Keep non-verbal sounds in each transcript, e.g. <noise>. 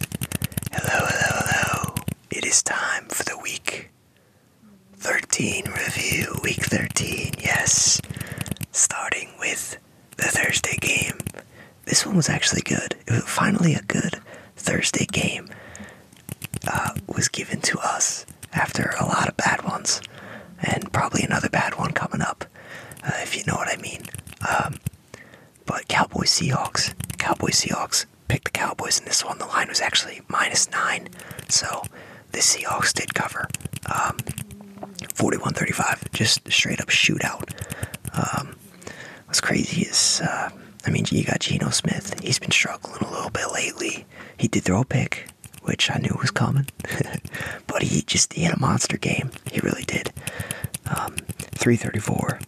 Hello, hello, hello. It is time for the week 13 review. Week 13, yes. Starting with the Thursday game. This one was actually good. It was finally a good Thursday game. Uh, was given to us after a lot of bad ones, and probably another bad one coming up, uh, if you know what I mean. Um, but Cowboys Seahawks, Cowboys Seahawks picked the Cowboys in this one. The line was actually minus nine, so the Seahawks did cover. Um, forty-one thirty-five. just straight up shootout. Um, what's crazy is, uh, I mean, you got Geno Smith. He's been struggling a little bit lately. He did throw a pick, which I knew was coming, <laughs> but he just he had a monster game. He really did. Um, 334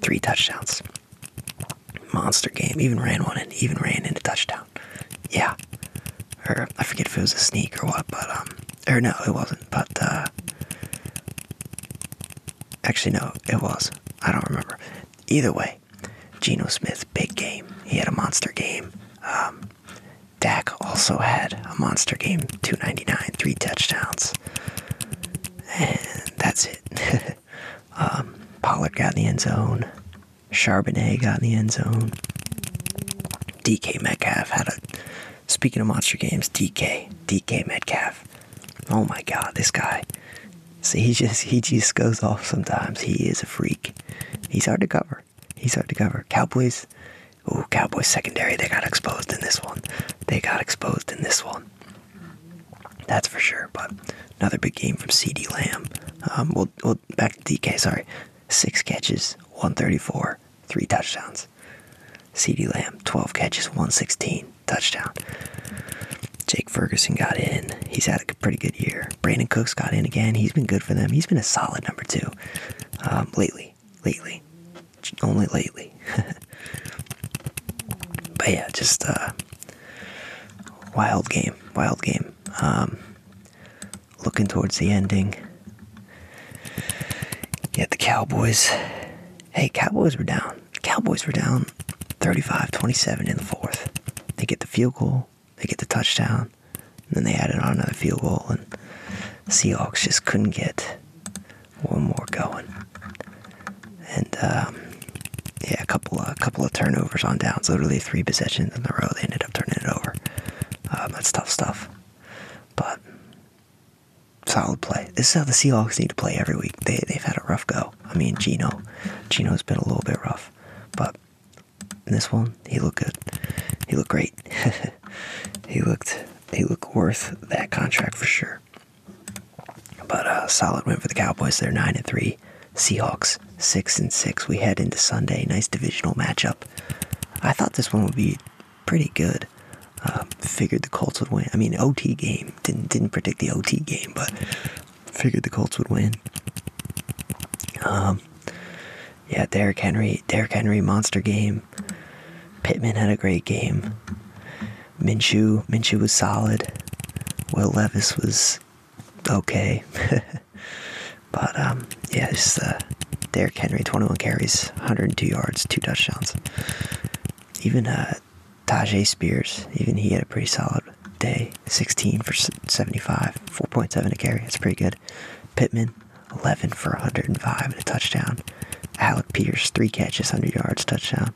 three touchdowns. Monster game. Even ran one and even ran into touchdown. Yeah. Or I forget if it was a sneak or what, but um or no, it wasn't, but uh actually no, it was. I don't remember. Either way, Geno Smith, big game. He had a monster game. Um Dak also had a monster game, 299, three touchdowns. And that's <laughs> Um, Pollard got in the end zone. Charbonnet got in the end zone. DK Metcalf had a. Speaking of monster games, DK, DK Metcalf. Oh my God, this guy. See, he just he just goes off sometimes. He is a freak. He's hard to cover. He's hard to cover. Cowboys. Oh, Cowboys secondary. They got exposed in this one. They got exposed in this one that's for sure. But another big game from CD Lamb. Um, we'll, we'll back to DK. Sorry, six catches, 134, three touchdowns. CD Lamb, 12 catches, 116, touchdown. Jake Ferguson got in. He's had a pretty good year. Brandon Cooks got in again. He's been good for them. He's been a solid number two um, lately. Lately, only lately. <laughs> but yeah, just uh, wild game, wild game. Um, looking towards the ending. get the Cowboys, hey, Cowboys were down. Cowboys were down 35-27 in the fourth. They get the field goal, they get the touchdown, and then they added on another field goal, and Seahawks just couldn't get one more going, and um, yeah, a couple a couple of turnovers on downs. Literally three possessions in a row. They ended up turning it over. Um, that's tough stuff, but solid play. This is how the Seahawks need to play every week. They they've had a rough go. I mean, Gino, Gino's been a little bit rough, but in this one he looked good. He looked great. <laughs> he looked he looked worth that contract for sure. But a uh, solid win for the Cowboys. They're nine and three. Seahawks six and six. We head into Sunday. Nice divisional matchup. I thought this one would be pretty good. Um, figured the Colts would win. I mean, OT game didn't didn't predict the OT game, but figured the Colts would win. Um, yeah, Derrick Henry, Derrick Henry monster game. Pittman had a great game. Minshew Minshew was solid. Will Levis was okay, <laughs> but um, yeah, just uh, Derrick Henry, 21 carries, 102 yards, two touchdowns. Even uh, Tajay Spears, even he had a pretty solid day, 16 for 75, 4.7 a carry. That's pretty good. Pittman, 11 for 105 and a touchdown. Alec Pierce, three catches, 100 yards, touchdown.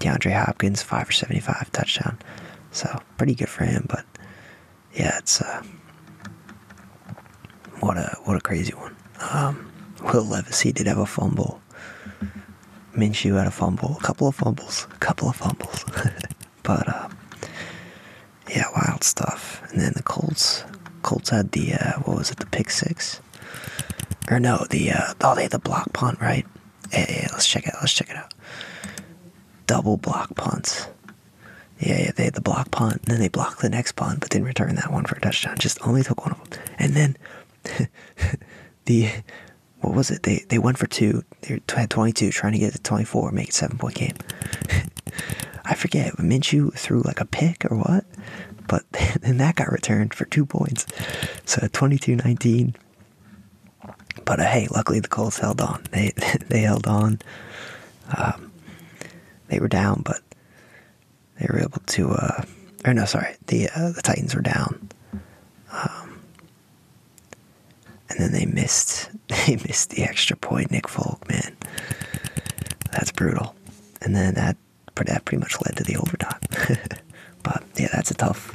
DeAndre Hopkins, 5 for 75 touchdown. So pretty good for him, but yeah, it's uh what a what a crazy one. Um, Will Levis he did have a fumble. Minshew had a fumble, a couple of fumbles, a couple of fumbles. <laughs> but uh, yeah, wild stuff. And then the Colts Colts had the uh, what was it, the pick six? or no, the uh, oh they the block punt right. Hey, let's check it. Out, let's check it out. Double block punts. Yeah, yeah, they had the block punt, and then they blocked the next punt, but didn't return that one for a touchdown. Just only took one of them, and then <laughs> the what was it? They they went for two. They had twenty two, trying to get to twenty four, make it seven point game. <laughs> I forget. Minshew threw like a pick or what? But <laughs> then that got returned for two points. So 22 19. But uh, hey, luckily the Colts held on. They <laughs> they held on. Um, they were down, but they were able to. Uh, or no, sorry, the uh, the Titans were down, um, and then they missed <laughs> they missed the extra point. Nick Folk, man, that's brutal. And then that that pretty much led to the overtime. <laughs> but yeah, that's a tough,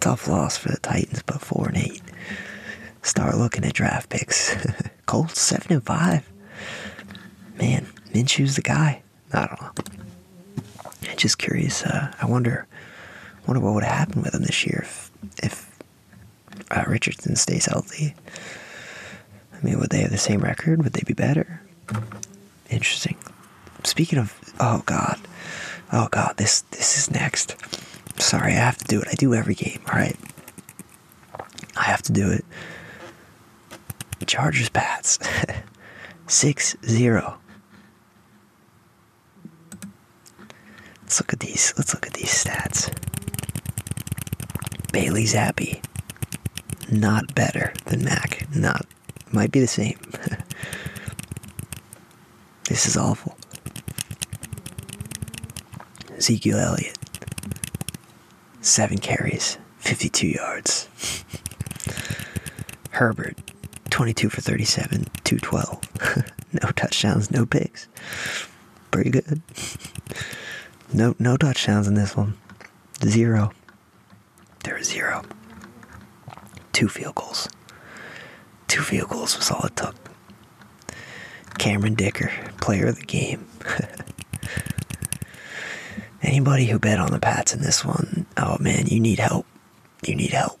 tough loss for the Titans. But four and eight, start looking at draft picks. <laughs> Colts seven and five. Man, Minshew's the guy. I don't know. Just curious. Uh, I wonder, wonder what would have happened with them this year if, if uh, Richardson stays healthy. I mean, would they have the same record? Would they be better? Interesting. Speaking of, oh god, oh god, this this is next. Sorry, I have to do it. I do every game. All right, I have to do it. Chargers Pats, <laughs> six zero. Let's look at these. Let's look at these stats. Bailey Zappi, not better than Mac. Not might be the same. <laughs> this is awful. Ezekiel Elliott, seven carries, 52 yards. <laughs> Herbert, 22 for 37, 212. <laughs> no touchdowns, no picks. Pretty good. No, no touchdowns in this one. Zero. There was zero. Two field goals. Two field goals was all it took. Cameron Dicker, player of the game. <laughs> Anybody who bet on the Pats in this one, oh man, you need help. You need help.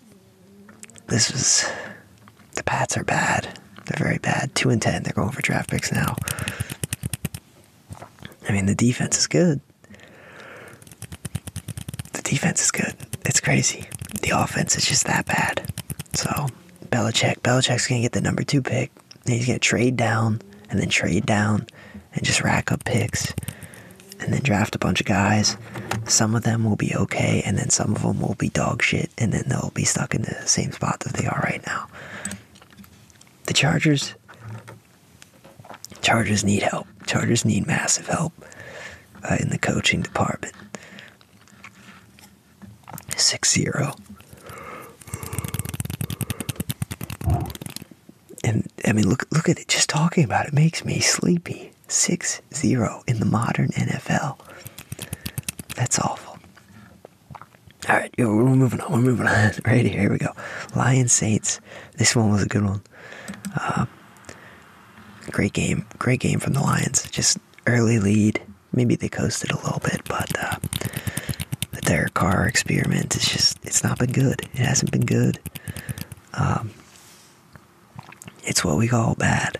This is the Pats are bad. They're very bad. Two and ten. They're going for draft picks now. I mean, the defense is good. The defense is good. It's crazy. The offense is just that bad. So Belichick, Belichick's gonna get the number two pick. And he's gonna trade down and then trade down and just rack up picks and then draft a bunch of guys. Some of them will be okay, and then some of them will be dog shit, and then they'll be stuck in the same spot that they are right now. The Chargers Chargers need help. Chargers need massive help uh, in the coaching department. 6 0. And I mean, look, look at it. Just talking about it makes me sleepy. 6 0 in the modern NFL. That's awful. All right, we're moving on. We're moving on. <laughs> Right here, here we go. Lions Saints. This one was a good one. Uh, great game, great game from the Lions. Just early lead. Maybe they coasted a little bit, but uh, their car experiment is just—it's not been good. It hasn't been good. Um, it's what we call bad.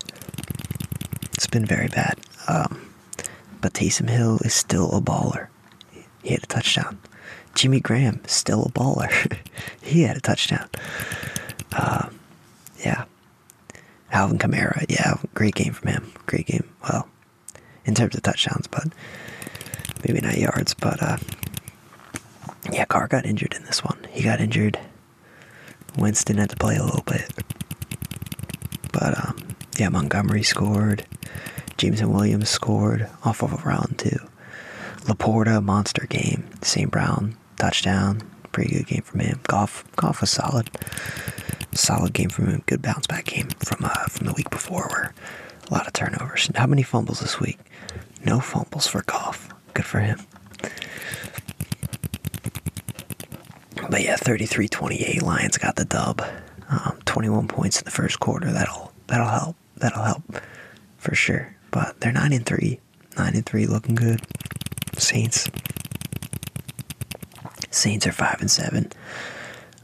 It's been very bad. Um, but Taysom Hill is still a baller. He had a touchdown. Jimmy Graham, still a baller. <laughs> he had a touchdown. Uh, yeah. Alvin Kamara, yeah, great game from him. Great game. Well, in terms of touchdowns, but maybe not yards. But uh, yeah, Carr got injured in this one. He got injured. Winston had to play a little bit. But um, yeah, Montgomery scored. Jameson Williams scored off of a round two. Laporta, monster game. St. Brown, touchdown. Pretty good game from him. Golf, golf was solid. Solid game from him. Good bounce back game from uh, from the week before, where a lot of turnovers. How many fumbles this week? No fumbles for golf. Good for him. But yeah, 33-28. Lions got the dub. Um, 21 points in the first quarter. That'll that'll help. That'll help for sure. But they're nine and three. Nine and three, looking good. Saints. Saints are five and seven.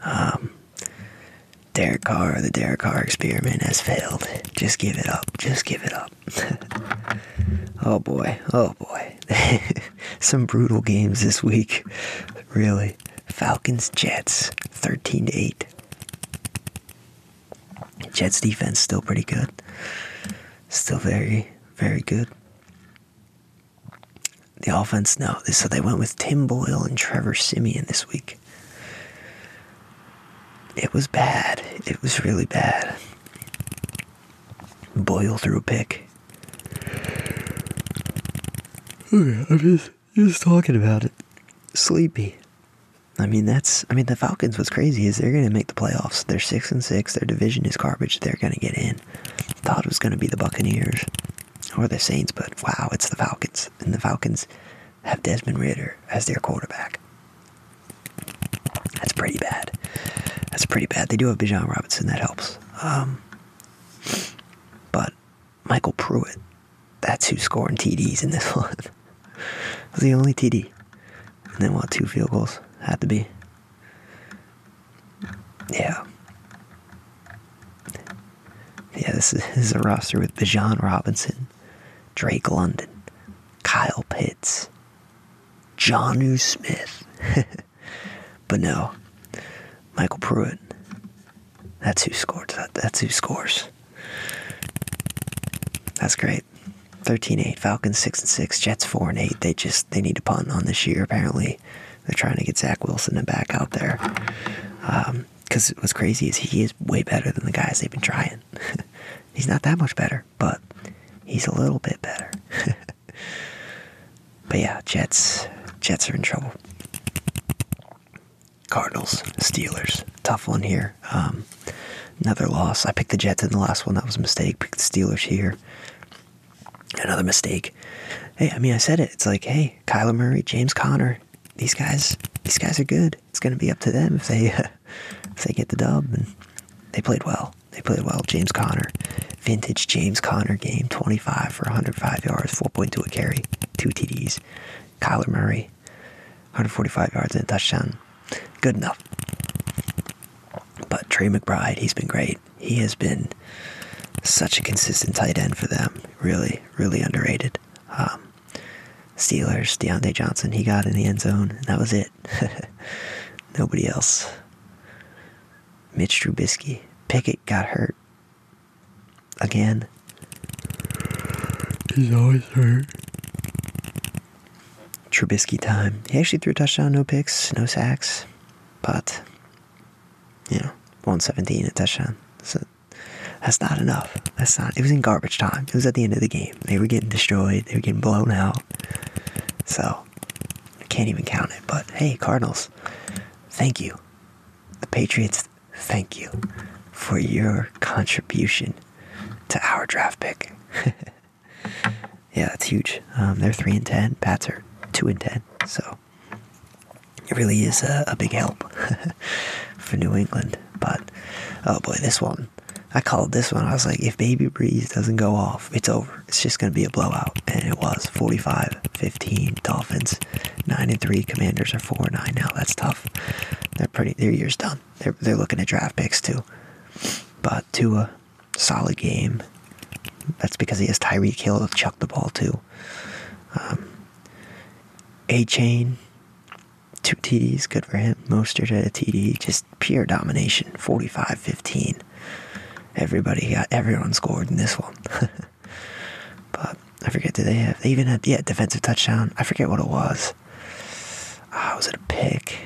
Um, Derek Carr, the Derek Carr experiment has failed. Just give it up. Just give it up. <laughs> oh boy. Oh boy. <laughs> Some brutal games this week. Really. Falcons Jets 13 to 8. Jets defense still pretty good. Still very, very good. The offense, no. So they went with Tim Boyle and Trevor Simeon this week. It was bad. It was really bad. Boyle threw a pick. I'm just, just talking about it. Sleepy. I mean, that's I mean the Falcons. What's crazy is they're going to make the playoffs. They're six and six. Their division is garbage. They're going to get in. Thought it was going to be the Buccaneers or the Saints, but wow, it's the Falcons, and the Falcons have Desmond Ritter as their quarterback. That's pretty bad. That's pretty bad. They do have Bijan Robinson. That helps. Um, but Michael Pruitt that's who's scoring TDs in this <laughs> one. it was the only TD. And then, what, two field goals? Had to be. Yeah. Yeah, this is, a roster with Bijan Robinson, Drake London, Kyle Pitts, Johnu Smith. <laughs> but no, Michael Pruitt. That's who scores. that's who scores. That's great. 13-8, Falcons 6 and 6, Jets 4 and 8. They just they need to punt on this year apparently. They're trying to get Zach Wilson and back out there. Um, cuz what's crazy is he is way better than the guys they've been trying. <laughs> he's not that much better, but he's a little bit better. <laughs> but yeah, Jets Jets are in trouble. Cardinals, Steelers. Tough one here. Um, another loss. I picked the Jets in the last one. That was a mistake. Pick the Steelers here. Another mistake. Hey, I mean, I said it. It's like, hey, Kyler Murray, James Conner. These guys, these guys are good. It's going to be up to them if they, <laughs> if they get the dub. And they played well. They played well. James Conner, vintage James Conner game, 25 for 105 yards, 4.2 a carry, two TDs. Kyler Murray, 145 yards and a touchdown. Good enough. But Trey McBride, he's been great. He has been such a consistent tight end for them. Really, really underrated. Um, Steelers, Deontay Johnson, he got in the end zone, and that was it. <laughs> Nobody else. Mitch Trubisky. Pickett got hurt again. He's always hurt. Trubisky time. He actually threw a touchdown, no picks, no sacks, but you know, 117 touchdown. So that's not enough. That's not. It was in garbage time. It was at the end of the game. They were getting destroyed. They were getting blown out. So I can't even count it. But hey, Cardinals, thank you. The Patriots, thank you for your contribution to our draft pick. <laughs> yeah, that's huge. Um, they're three and ten. Pats are two and ten. So it really is a, big help <laughs> for New England. But oh boy, this one. I called this one. I was like, if Baby Breeze doesn't go off, it's over. It's just going to be a blowout. And it was 45 15. Dolphins 9 and 3. Commanders are 4 9 now. That's tough. They're pretty, their year's done. They're they're looking at draft picks too. But Tua, solid game. That's because he has Tyree Kill to chuck the ball too. Um, a chain, two TDs, good for him. Mostert at a TD, just pure domination. 45-15. Everybody got everyone scored in this one. <laughs> but I forget did they have they even had yeah defensive touchdown. I forget what it was. Ah, was it a pick?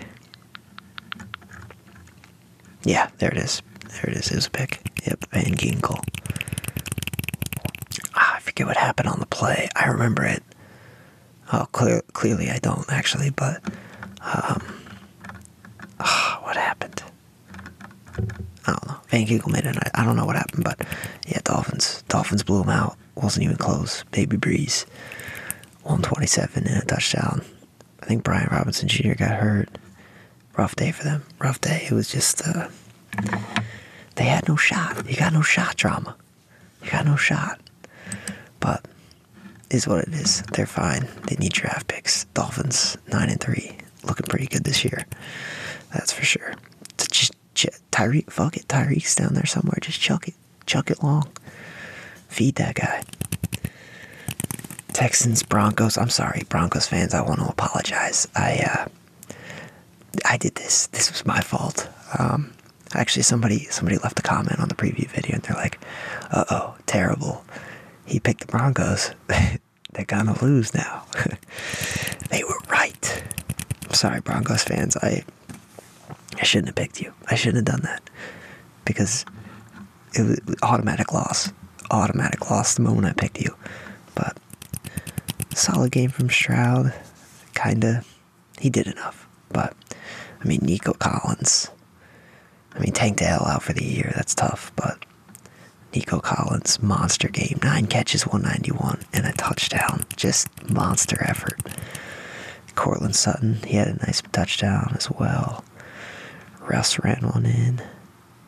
Yeah, there it is. There it is. It was a pick. Yep, Van Ginkle. Ah, I forget what happened on the play. I remember it. Oh, clearly I don't actually, but um, ah, what happened? I don't know. Van Ginkle made it. I don't know what happened, but yeah, Dolphins. Dolphins blew him out wasn't even close. Baby Breeze, 127 and a touchdown. I think Brian Robinson Jr. got hurt. Rough day for them. Rough day. It was just, uh, they had no shot. You got no shot drama. You got no shot. But is what it is. They're fine. They need draft picks. Dolphins nine and three, looking pretty good this year. That's for sure. Ch- Ch- Tyreek, fuck it, Tyreek's down there somewhere. Just chuck it, chuck it long. Feed that guy. Texans, Broncos. I'm sorry, Broncos fans. I want to apologize. I uh, I did this. This was my fault. Um, actually, somebody somebody left a comment on the preview video, and they're like, "Uh oh, terrible. He picked the Broncos. <laughs> they're gonna lose now." <laughs> they were right. sorry, Broncos fans. I I shouldn't have picked you. I shouldn't have done that because it was automatic loss. Automatic loss the moment I picked you. But solid game from Stroud. Kinda. He did enough. But, I mean, Nico Collins. I mean, Tank Dale out for the year. That's tough. But Nico Collins, monster game. Nine catches, 191, and a touchdown. Just monster effort. Courtland Sutton, he had a nice touchdown as well. Russ ran one in.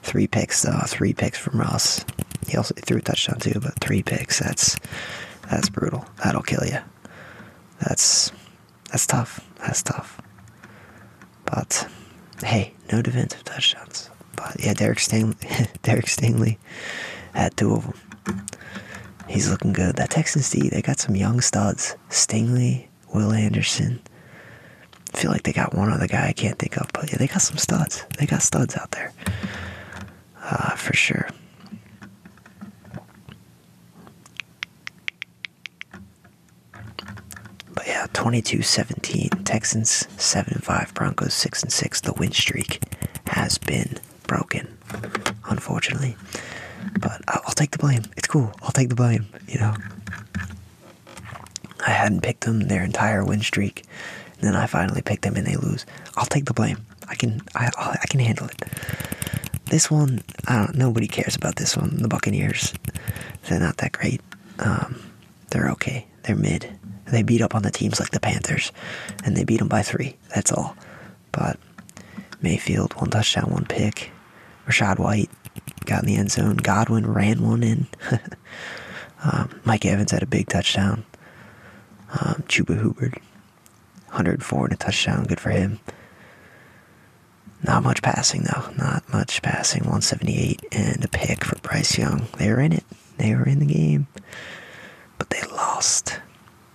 Three picks though, three picks from Russ. He also threw a touchdown too, but three picks, that's that's brutal. That'll kill you. That's that's tough. That's tough. But hey, no defensive touchdowns. But yeah, Derek Stingley, <laughs> Derek Stingley had two of them. He's looking good. That Texans team they got some young studs. Stingley, Will Anderson. I feel like they got one other guy I can't think of, but yeah, they got some studs. They got studs out there. Uh, for sure. But yeah, 22-17, Texans 7-5, Broncos 6-6. The win streak has been broken, unfortunately. But I'll, take the blame. It's cool. I'll take the blame, you know. I hadn't picked them their entire win streak. And then I finally picked them and they lose. I'll take the blame. I can I I can handle it. This one, I don't nobody cares about this one. The Buccaneers. They're not that great. Um they're okay. They're mid. They beat up on the teams like the Panthers and they beat them by 3. That's all. But Mayfield, one touchdown, one pick. Rashad White got in the end zone. Godwin ran one in. <laughs> Um, Mike Evans had a big touchdown. Um, Chuba Hubbard, 104 and a touchdown. Good for him. Not much passing, though. Not much passing. 178 and a pick for Bryce Young. They were in it. They were in the game. But they lost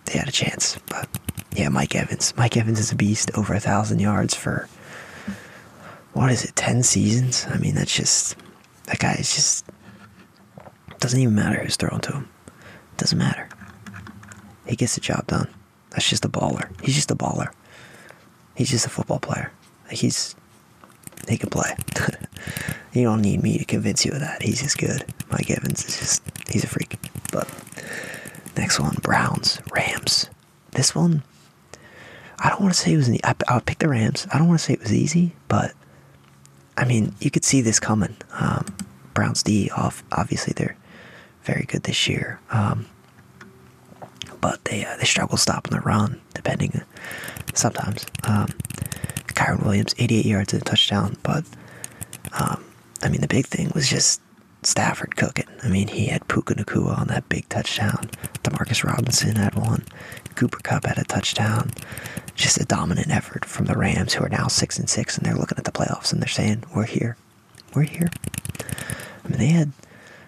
they had a chance. But yeah, Mike Evans. Mike Evans is a beast. Over a thousand yards for what is it? Ten seasons. I mean, that's just that guy is just doesn't even matter who's throwing to him. Doesn't matter. He gets the job done. That's just a baller. He's just a baller. He's just a football player. He's he can play. <laughs> you don't need me to convince you of that. He's just good. Mike Evans is just he's a freak. But next one, Browns, Rams. This one, I don't want to say it was. I, I would pick the Rams. I don't want to say it was easy, but I mean, you could see this coming. Um, Browns D off. Obviously, they're very good this year. Um, but they uh, they struggle stopping the run, depending uh, sometimes. Um, Kyron Williams, 88 yards and a touchdown, but um, I mean, the big thing was just Stafford cooking. I mean, he had Puka Nakua on that big touchdown. Demarcus Robinson had one. Cooper Cup had a touchdown. Just a dominant effort from the Rams, who are now six and six, and they're looking at the playoffs and they're saying, "We're here, we're here." I mean, they had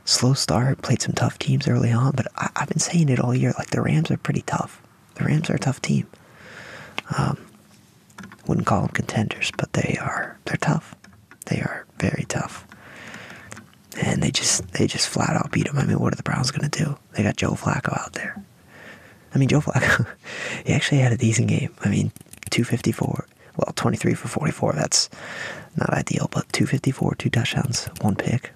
slow start, played some tough teams early on, but I I've been saying it all year. Like the Rams are pretty tough. The Rams are a tough team. Um, wouldn't call them contenders, but they are. They're tough. They are very tough. And they just they just flat out beat them. I mean, what are the Browns going to do? They got Joe Flacco out there. I mean, Joe Flacco, <laughs> he actually had a decent game. I mean, 254, well, 23 for 44. That's not ideal, but 254, two touchdowns, one pick.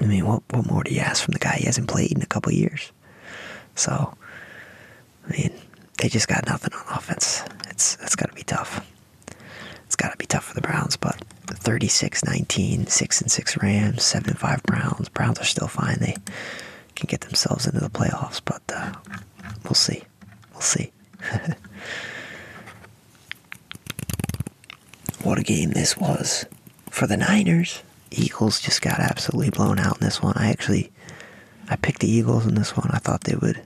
I mean, what, what more do you ask from the guy? He hasn't played in a couple years. So, I mean, they just got nothing on offense. It's it's got to be tough. It's got to be tough for the Browns, but the 36-19, 6 and 6 Rams, 7 and 5 Browns. Browns are still fine. They can get themselves into the playoffs, but uh, we'll see. We'll see. <laughs> what a game this was for the Niners. Eagles just got absolutely blown out in this one. I actually I picked the Eagles in this one. I thought they would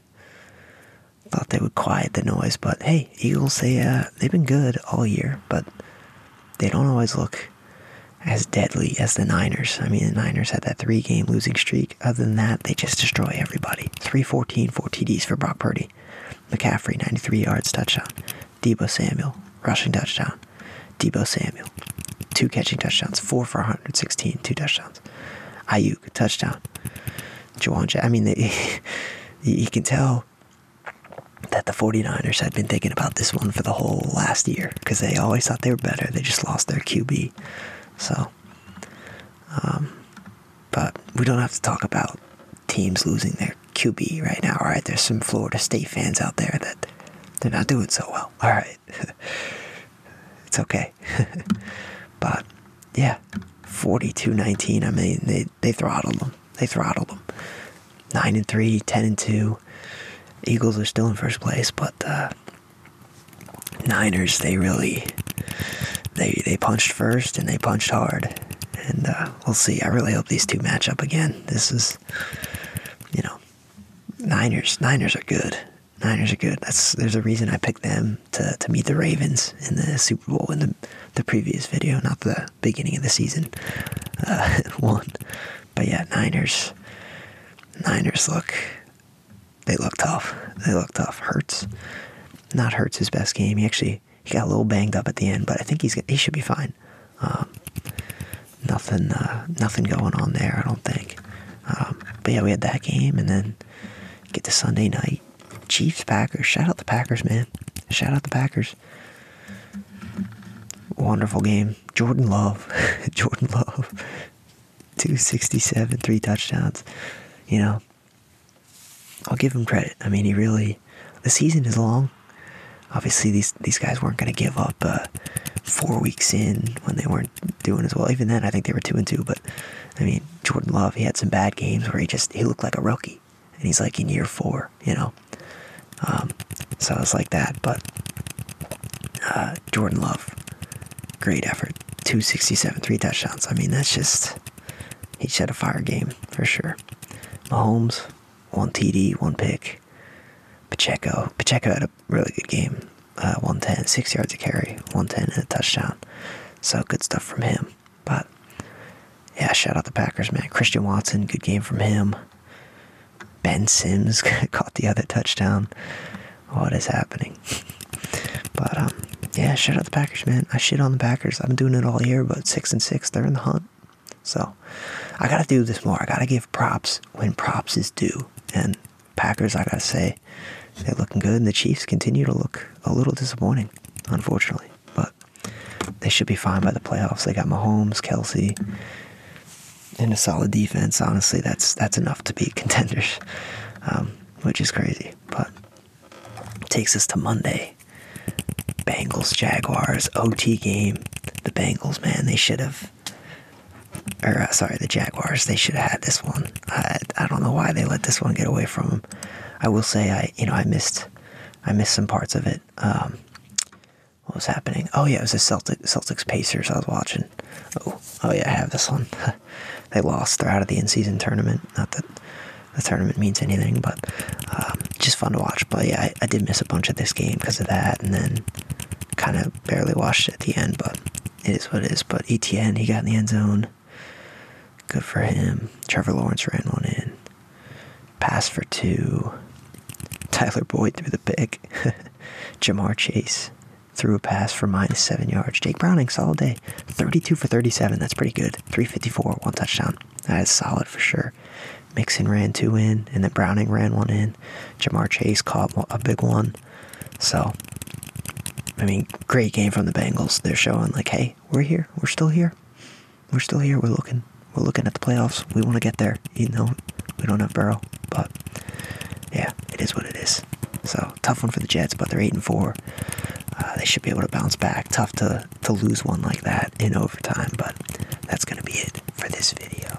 thought they would quiet the noise, but hey, Eagles they uh they've been good all year, but they don't always look as deadly as the Niners. I mean, the Niners had that three game losing streak. Other than that, they just destroy everybody. 314, 4 TDs for Brock Purdy. McCaffrey, 93 yards, touchdown. Debo Samuel, rushing touchdown. Debo Samuel, two catching touchdowns, four for 116, two touchdowns. Ayuk, touchdown. Jawan, I mean, <laughs> you can tell that the 49ers had been thinking about this one for the whole last year because they always thought they were better. They just lost their QB. So, um, but we don't have to talk about teams losing their QB right now, right? There's some Florida State fans out there that they're not doing so well. All right, <laughs> it's okay. <laughs> but yeah, 42-19. I mean, they they throttled them. They throttled them. 9 and three, ten and 2. Eagles are still in first place, but uh, Niners, they really they they punched first and they punched hard. And uh, we'll see. I really hope these two match up again. This is, you know, Niners. Niners are good. Niners are good. That's there's a reason I picked them to, to meet the Ravens in the Super Bowl in the the previous video, not the beginning of the season uh, <laughs> one. But yeah, Niners. Niners look they look tough. They look tough. Hurts. Not Hurts his best game. He actually he got a little banged up at the end, but I think he's he should be fine. Um, nothing, uh, nothing going on there, I don't think. Um, but yeah, we had that game, and then get to Sunday night. Chiefs, Packers. Shout out the Packers, man. Shout out the Packers. Wonderful game. Jordan Love. <laughs> Jordan Love. <laughs> 267, three touchdowns. You know, I'll give him credit. I mean, he really, the season is long. Obviously, these these guys weren't going to give up uh, four weeks in when they weren't doing as well. Even then, I think they were two and two. But I mean, Jordan Love, he had some bad games where he just he looked like a rookie, and he's like in year four, you know. Um, so it's like that. But uh, Jordan Love, great effort, two sixty seven, three touchdowns. I mean, that's just he had a fire game for sure. Mahomes, one TD, one pick. Pacheco. Pacheco had a really good game. Uh, 110, six yards of carry, 110 and a touchdown. So good stuff from him. But yeah, shout out the Packers, man. Christian Watson, good game from him. Ben Sims <laughs> caught the other touchdown. What is happening? <laughs> but um, yeah, shout out the Packers, man. I shit on the Packers. I've been doing it all year, but six and six, they're in the hunt. So I gotta do this more. I gotta give props when props is due. And Packers, I gotta say, they're looking good, and the Chiefs continue to look a little disappointing, unfortunately. But they should be fine by the playoffs. They got Mahomes, Kelsey, and a solid defense. Honestly, that's that's enough to beat <laughs> contenders, um, which is crazy. But takes us to Monday. Bengals Jaguars OT game. The Bengals, man, they should have or uh, sorry, the Jaguars. They should have had this one. I I don't know why they let this one get away from them. I will say I you know I missed I missed some parts of it. Um, what was happening? Oh yeah, it was the Celtic Celtics Pacers. I was watching. Oh oh yeah, I have this one. <laughs> they lost. They're out of the in season tournament. Not that the tournament means anything, but um, just fun to watch. But yeah, I did miss a bunch of this game because of that, and then kind of barely washed at the end, but it is what it is. But ETN, he got in the end zone. Good for him. Trevor Lawrence ran one in. Pass for two. Tyler Boyd threw the pick. <laughs> Jamar Chase threw a pass for minus seven yards. Jake Browning, solid day. 32 for 37. That's pretty good. 354, one touchdown. That is solid for sure. Mixon ran two in, and then Browning ran one in. Jamar Chase caught a big one. So, I mean, great game from the Bengals. They're showing like, hey, we're here. We're still here. We're still here. We're looking. We're looking at the playoffs. We want to get there. You know, we don't have Burrow, but yeah, it is what it is. So tough one for the Jets, but they're eight and four. Uh, they should be able to bounce back. Tough to to lose one like that in overtime, but that's gonna be it for this video.